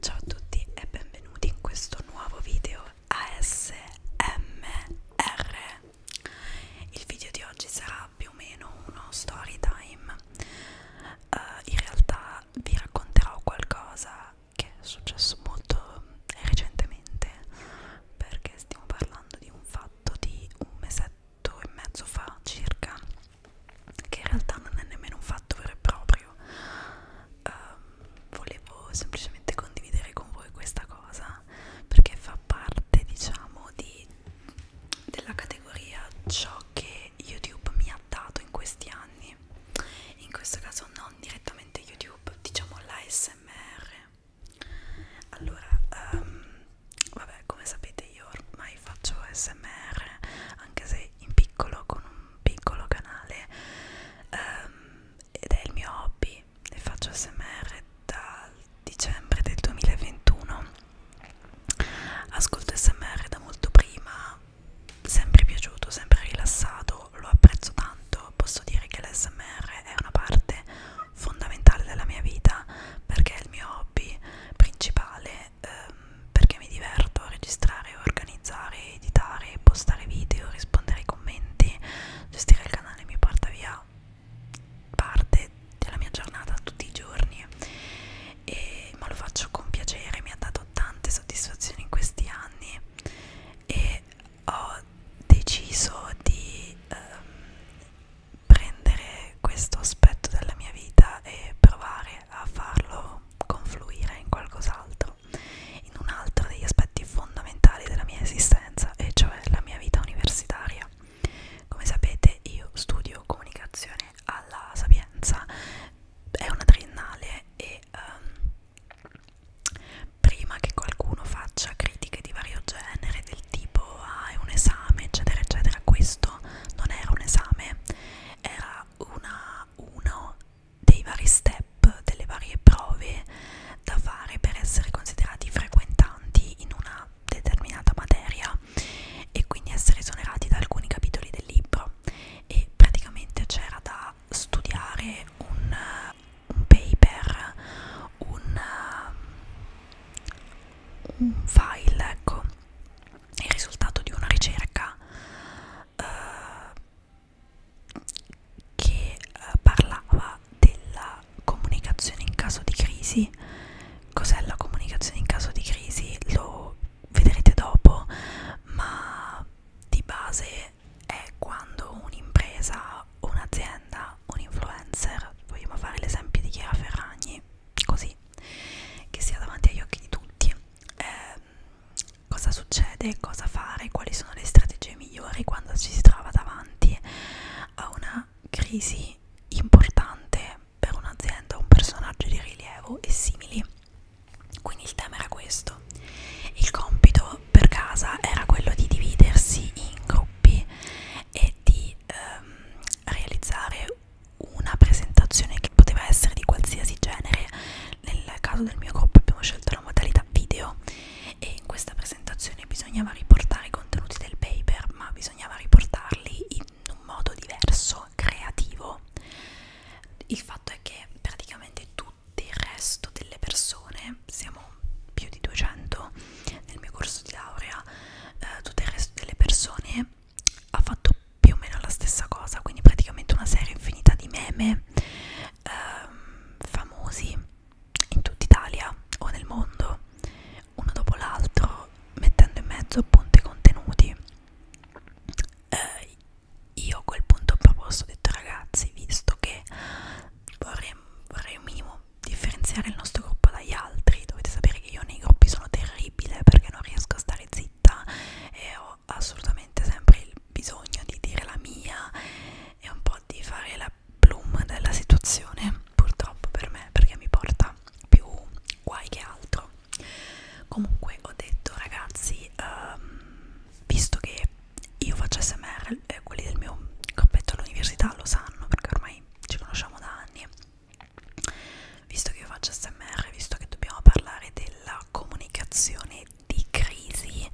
Ciao a tutti e benvenuti in questo nuovo video ASMR. Il video di oggi sarà più o meno uno story time. Uh, in realtà vi racconterò qualcosa che è successo molto recentemente perché stiamo parlando di un fatto di un mesetto fatto e mezzo fa circa che in realtà non è nemmeno un fatto vero e proprio um, volevo semplicemente condividere con voi questa cosa perché fa parte diciamo di, della categoria ciò che youtube mi ha dato in questi anni in questo caso non direttamente youtube diciamo l'ASMR allora um, vabbè come sapete io ormai faccio smr anche se in piccolo con un piccolo canale um, ed è il mio hobby e faccio smr dal dicembre del 2021 ascolto smr da molto prima sempre piaciuto sempre rilassato lo apprezzo tanto posso dire che l'smr è una parte fondamentale della mia vita perché è il mio hobby principale ehm, perché mi diverto a registrare, organizzare, editare, postare video, rispondere ai commenti, gestire il canale mi porta via parte della mia giornata tutti i giorni e, ma lo faccio con piacere, mi ha dato tante soddisfazioni in questi anni e ho deciso di ehm, prendere questo aspetto della mia vita e provare a farlo confluire in qualcos'altro, in un altro degli aspetti fondamentali della mia esistenza, e cioè la mia vita universitaria. Come sapete io studio comunicazione alla Sapienza, è una triennale e um, prima che qualcuno faccia critiche di vario genere del tipo ah, è un esame eccetera eccetera questo non era un esame era una, uno dei vari step delle varie prove da fare per essere considerati frequentanti in una determinata materia e quindi essere esonerati da alcuni capitoli del libro e praticamente c'era da studiare un, un paper un, un file ecco il risultato di una ricerca eh, che eh, parlava della comunicazione in caso di crisi. Cos'è la comunicazione in caso di crisi? Lo vedrete dopo, ma di base è quando un'impresa, un'azienda, un influencer, vogliamo fare l'esempio di Chiara Ferragni, così lei che sia davanti agli occhi di tutti eh, cosa succede, cosa fare, quali sono le strategie migliori quando ci si trova davanti a una crisi importante per un'azienda, un personaggio di rilievo e simili quindi il tema era questo il compito per casa era quello di dividersi in gruppi e di ehm, realizzare una presentazione che poteva essere di qualsiasi genere nel caso del mio gruppo abbiamo scelto la modalità video e in questa presentazione bisognava riportare i contenuti del paper ma bisognava riportarli in un modo diverso, creativo il fatto è che praticamente tutto il resto delle persone, siamo più di 200, nel mio corso di laurea eh, tutto il resto delle persone ha fatto più o meno la stessa cosa quindi praticamente una serie infinita di meme ehm, famosi in tutta Italia o nel mondo uno dopo l'altro mettendo in mezzo appunto i contenuti eh, io a quel punto ho proposto ho detto ragazzi visto che vorrei, vorrei un minimo differenziare il nostro gruppo dagli altri. Dovete sapere che io nei gruppi sono terribile perché non riesco a stare zitta e ho assolutamente sempre il bisogno di dire la mia e un po' di fare la bloom della situazione, purtroppo per me, perché mi porta più guai che altro. Comunque ho detto ragazzi, um, visto che io faccio SMR, eh, quelli del mio gruppetto all'università lo sanno perché ormai ci conosciamo da anni visto che io faccio smr visto che dobbiamo parlare della comunicazione di crisi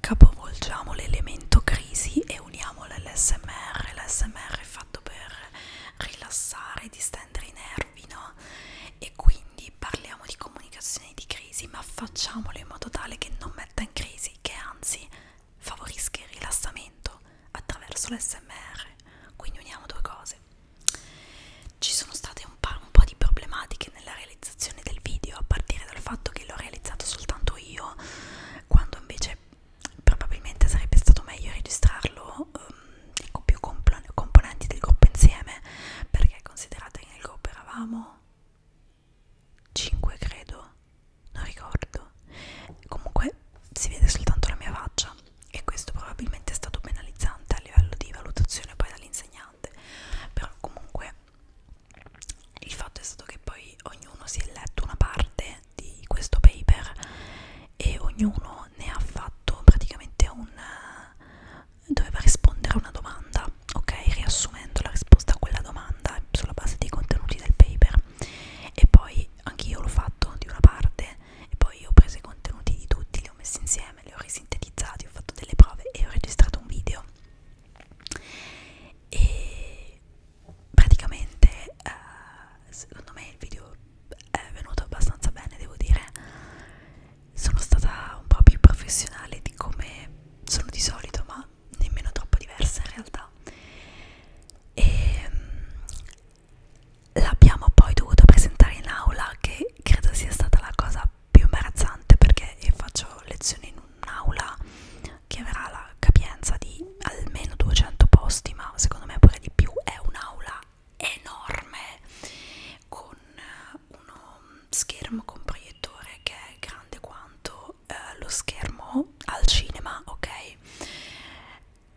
capovolgiamo l'elemento crisi e uniamolo all'smr l'smr è fatto per rilassare distendere i nervi no e quindi parliamo di comunicazione di crisi ma facciamolo in modo tale che non metta in crisi che anzi favorisca il rilassamento attraverso l'SMR, quindi uniamo due cose. Ci sono state un, un po' di problematiche nella realizzazione del video, a partire dal fatto che l'ho realizzato soltanto io, quando invece probabilmente sarebbe stato meglio registrarlo um, con più componenti del gruppo insieme, perché considerate che nel gruppo eravamo 5 credo non ricordo comunque si vede soltanto la mia faccia e questo probabilmente è stato penalizzante a livello di valutazione poi dall'insegnante però comunque il fatto è stato che poi ognuno si è letto una parte di questo paper e ognuno ne ha fatto praticamente un doveva rispondere a una domanda ok riassumendo la risposta a quella domanda sulla base dei contenuti del paper e poi anche io l'ho fatto di una parte e poi ho preso i contenuti di tutti, li ho messi insieme, li ho risintetizzati, ho fatto delle prove e ho registrato un video e praticamente eh, secondo me il video è venuto abbastanza bene devo dire sono stata un po' più professionale di come sono di solito ma nemmeno troppo diversa in realtà e ehm, l'abbiamo poi dovuto presentare in aula che credo sia stata la cosa più imbarazzante perché io faccio lezioni in un'aula che avrà la capienza di almeno 200 posti ma secondo me pure di più è un'aula enorme con eh, uno schermo con proiettore che è grande quanto eh, lo schermo al cinema, ok?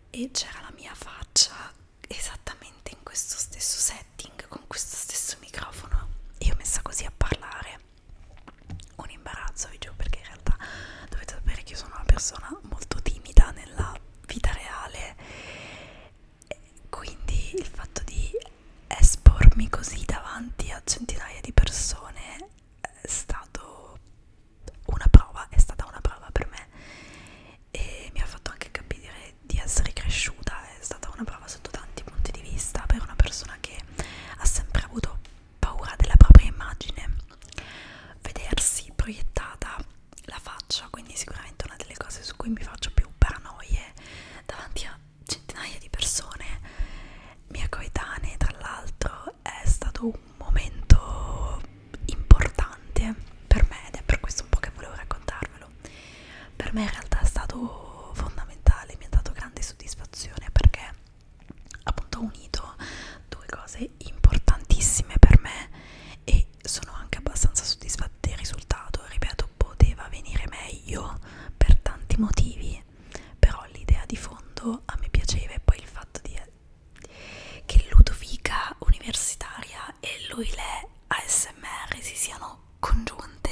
E c'era la mia faccia esattamente in questo stesso setting, con questo stesso microfono. Io messa così a parlare, un imbarazzo, vi giuro, perché in realtà dovete sapere che io sono una persona molto timida nella vita reale. Quindi il fatto di espormi così davanti a centinaia di persone è stato una prova, è stata una prova per me e mi ha fatto anche capire di essere cresciuta, è stata una prova sotto tanti punti di vista per una persona che ha sempre avuto paura della propria immagine, vedersi proiettata la faccia, quindi sicuramente una delle cose su cui mi faccio più paranoie davanti a centinaia di persone mia coetanea tra l'altro è stato un momento importante per me ed è per questo un po' che volevo raccontarvelo per me in realtà è stato fondamentale mi ha dato grande soddisfazione perché appunto ho unito due cose importantissime per me e sono anche abbastanza soddisfatta del risultato ripeto poteva venire meglio per tanti motivi però l'idea di fondo a me piaceva e poi il fatto di, che Ludovica universitaria e lui le ASMR si siano congiunte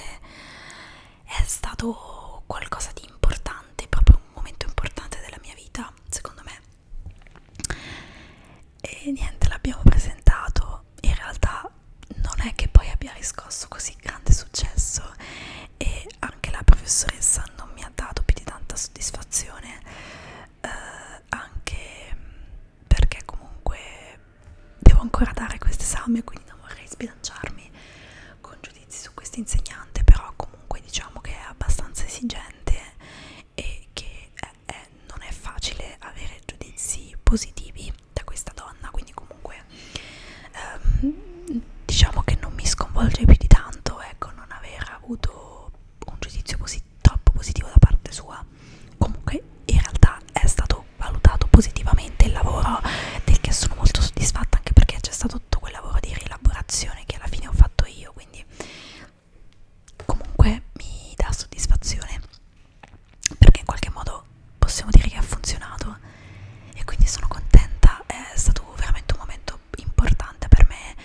è stato qualcosa di importante, proprio un momento importante della mia vita, secondo me. E niente, l'abbiamo presentato, in realtà non è che poi abbia riscosso così grande successo e anche la professoressa non mi ha dato più di tanta soddisfazione eh, anche perché comunque devo ancora dare questo esame quindi non vorrei sbilanciarmi con giudizi su questa insegnante però comunque diciamo che è abbastanza esigente e che è, eh, è, eh, non è facile avere giudizi positivi da questa donna quindi comunque ehm, diciamo che non mi sconvolge più di tanto ecco non aver avuto un giudizio posi troppo positivo da parte sua comunque in realtà è stato valutato positivamente il lavoro del che sono molto soddisfatta anche perché c'è stato tutto quel lavoro di rielaborazione che alla fine ho fatto io quindi comunque mi dà soddisfazione perché in qualche modo possiamo dire che ha funzionato e quindi sono contenta, è stato veramente un momento importante per me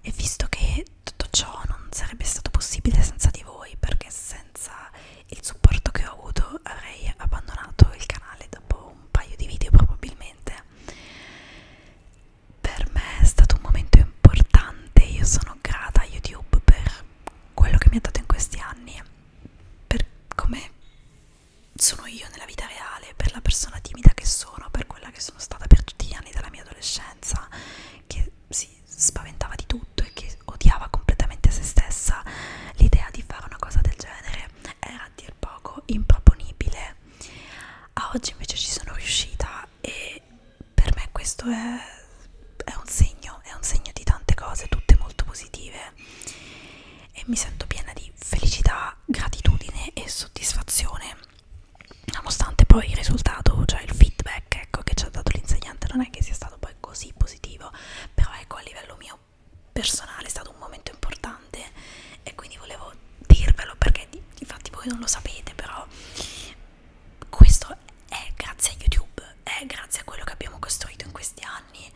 e visto che tutto ciò non sarebbe stato possibile senza di voi perché senza il supporto che ho avuto avrei abbandonato il canale dopo un paio di video probabilmente per me è stato un momento importante io sono grata a YouTube per quello che mi ha dato in questi anni per come sono io nella vita reale, per la persona timida che sono, per quella che sono stata per tutti gli anni della mia adolescenza, che si spaventava di tutto e che odiava completamente se stessa, l'idea di fare una cosa del genere era a dir poco improponibile. A oggi invece ci sono riuscita e per me questo è, è un segno, è un segno di tante cose, tutte molto positive e mi sento piena di felicità, gratitudine e soddisfazione nonostante poi il risultato, cioè il feedback ecco, che ci ha dato l'insegnante non è che sia stato poi così positivo però ecco a livello mio personale è stato un momento importante e quindi volevo dirvelo perché di, infatti voi non lo sapete però questo è grazie a YouTube, è grazie a quello che abbiamo costruito in questi anni anni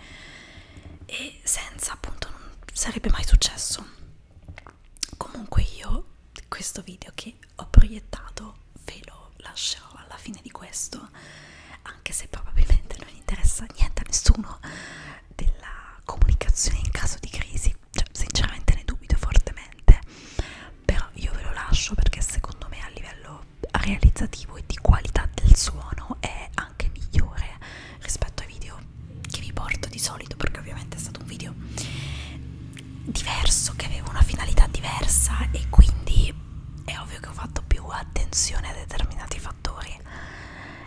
e senza appunto non sarebbe mai successo comunque io questo video che ho proiettato ve lo lascerò alla fine di questo anche se probabilmente non interessa niente a nessuno della comunicazione in caso di crisi cioè sinceramente ne dubito fortemente però io ve lo lascio perché secondo me a livello realizzativo e di qualità del suono è anche migliore rispetto ai video che vi porto di solito perché ovviamente è stato un video diverso che aveva una finalità diversa e quindi è ovvio che ho fatto più attenzione a determinati fattori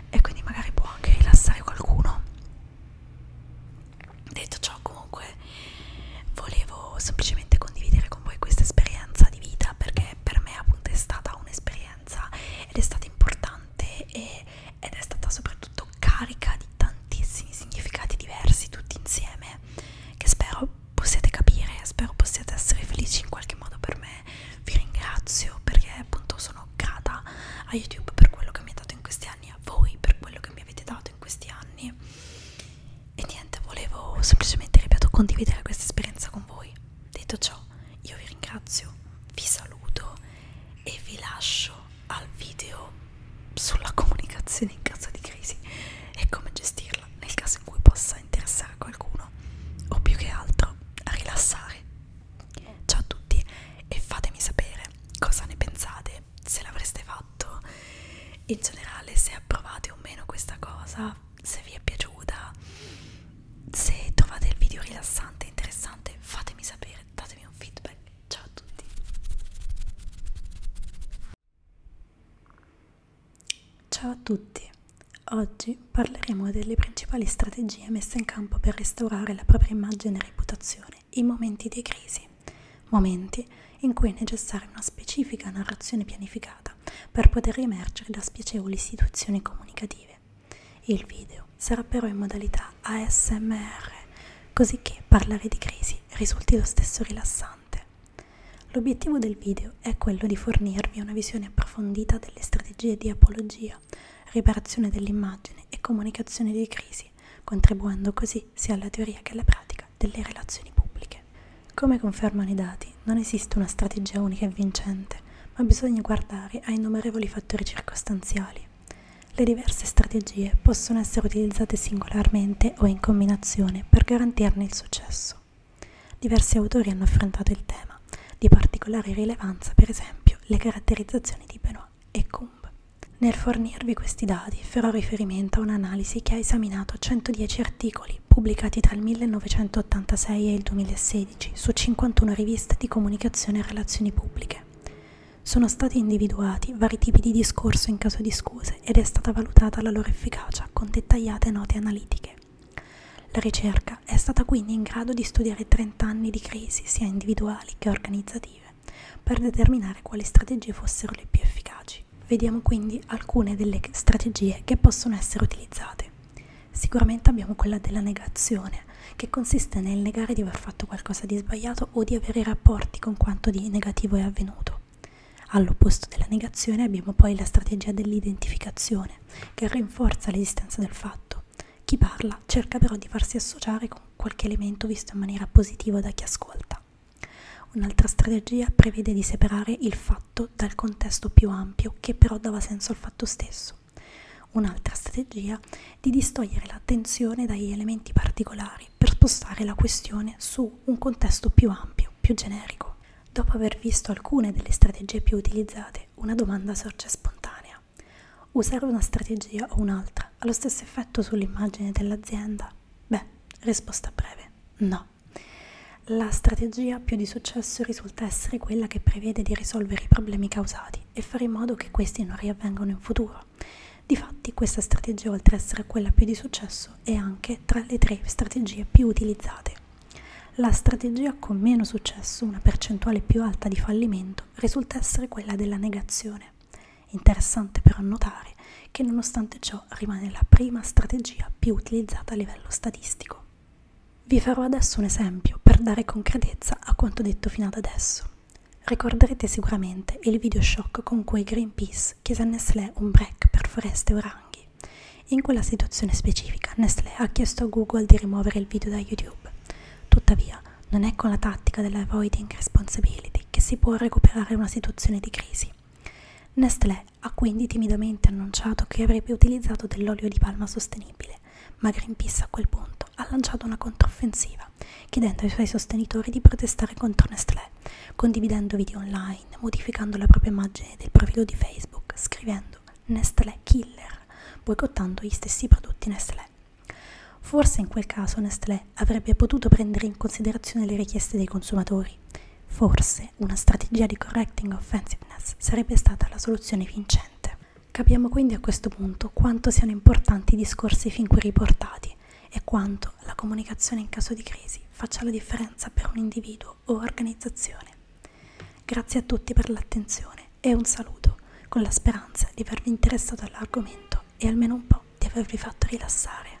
e quindi magari può anche rilassare qualcuno detto ciò comunque volevo semplicemente condividere con voi questa esperienza di vita perché per me appunto è stata un'esperienza esperienza ed è stata importante e, ed è stata soprattutto carica di tantissimi significati diversi tutti insieme che spero possiate capire, spero possiate essere felici in qualche modo per me. Vi ringrazio perché appunto sono grata a YouTube per quello che mi ha dato in questi anni, a voi per quello che mi avete dato in questi anni. E niente, volevo semplicemente, ripeto, condividere questa esperienza con voi. Detto ciò, io vi ringrazio, vi saluto e vi lascio al video sulla comunicazione in caso di crisi e come gestirla nel caso in cui possa interessare qualcuno o più che altro a rilassare. Ciao a tutti e fatemi sapere cosa ne pensate, se l'avreste fatto, in generale se approvate o meno questa cosa se vi è piaciuta se trovate il video rilassante interessante fatemi sapere datemi un feedback ciao a tutti ciao a tutti oggi parleremo delle principali strategie messe in campo per restaurare la propria immagine e reputazione in momenti di crisi momenti in cui è necessaria una specifica narrazione pianificata serata per poter emergere da spiacevoli istituzioni comunicative. Il video sarà però in modalità ASMR, così che parlare di crisi risulti lo stesso rilassante. L'obiettivo del video è quello di fornirvi una visione approfondita delle strategie di apologia, riparazione dell'immagine e comunicazione di crisi, contribuendo così sia alla teoria che alla pratica delle relazioni pubbliche politiche. Come confermano i dati, non esiste una strategia unica e vincente, ma bisogna guardare a innumerevoli fattori circostanziali. Le diverse strategie possono essere utilizzate singolarmente o in combinazione per garantirne il successo. Diversi autori hanno affrontato il tema, di particolare rilevanza per esempio le caratterizzazioni di Benoit e Kumb. Nel fornirvi questi dati farò riferimento a un'analisi che ha esaminato 110 articoli articoli pubblicati tra il 1986 e il 2016 su 51 riviste di comunicazione e relazioni pubbliche. Sono stati individuati vari tipi di discorso in caso di scuse ed è stata valutata la loro efficacia con dettagliate note analitiche. La ricerca è stata quindi in grado di studiare 30 anni di crisi, sia individuali che organizzative, per determinare quali strategie fossero le più efficaci. Vediamo quindi alcune delle strategie che possono essere utilizzate. Sicuramente abbiamo quella della negazione, che consiste nel negare di aver fatto qualcosa di sbagliato o di avere rapporti con quanto di negativo è avvenuto. All'opposto della negazione abbiamo poi la strategia dell'identificazione, che rinforza l'esistenza del fatto. Chi parla cerca però di farsi associare con qualche elemento visto in maniera positiva da chi ascolta. Un'altra strategia prevede di separare il fatto dettato dal contesto più ampio che però dava senso al fatto stesso. Un'altra strategia di distogliere l'attenzione dagli elementi particolari per spostare la questione su un contesto più ampio, più generico. Dopo aver visto alcune delle strategie più utilizzate, una domanda sorge spontanea. Usare una strategia o un'altra ha lo stesso effetto sull'immagine dell'azienda? Beh, risposta breve, no. La strategia più di successo risulta essere quella che prevede di risolvere i problemi causati e fare in modo che questi non riavvengano in futuro. Difatti questa strategia oltre ad essere quella più di successo è anche tra le tre strategie più utilizzate. La strategia con meno successo, una percentuale più alta di fallimento, risulta essere quella della negazione. Interessante però notare che nonostante ciò rimane la prima strategia più utilizzata a livello statistico. Vi farò adesso un esempio per dare concretezza a quanto detto fino ad adesso. Ricorderete sicuramente il video shock con cui Greenpeace chiese a Nestlé un break per foreste e oranghi. In quella situazione specifica Nestlé ha chiesto a Google di rimuovere il video da YouTube. Tuttavia, non è con la tattica della avoiding responsibility che si può recuperare una situazione di crisi. Nestlé ha quindi timidamente annunciato che avrebbe utilizzato dell'olio di palma sostenibile, ma Greenpeace a quel punto ha lanciato una controffensiva, chiedendo ai suoi sostenitori di protestare contro Nestlé, condividendo video online, modificando la propria immagine del profilo di Facebook, scrivendo Nestlé Killer, boicottando gli stessi prodotti Nestlé. Forse in quel caso Nestlé avrebbe potuto prendere in considerazione le richieste dei consumatori Forse una strategia di correcting offensiveness sarebbe stata la soluzione vincente. Capiamo quindi a questo punto quanto siano importanti i discorsi fin qui riportati e quanto la comunicazione in caso di crisi faccia la differenza per un individuo o organizzazione. Grazie a tutti per l'attenzione e un saluto, con la speranza di avervi interessato all'argomento e almeno un po' di avervi fatto rilassare.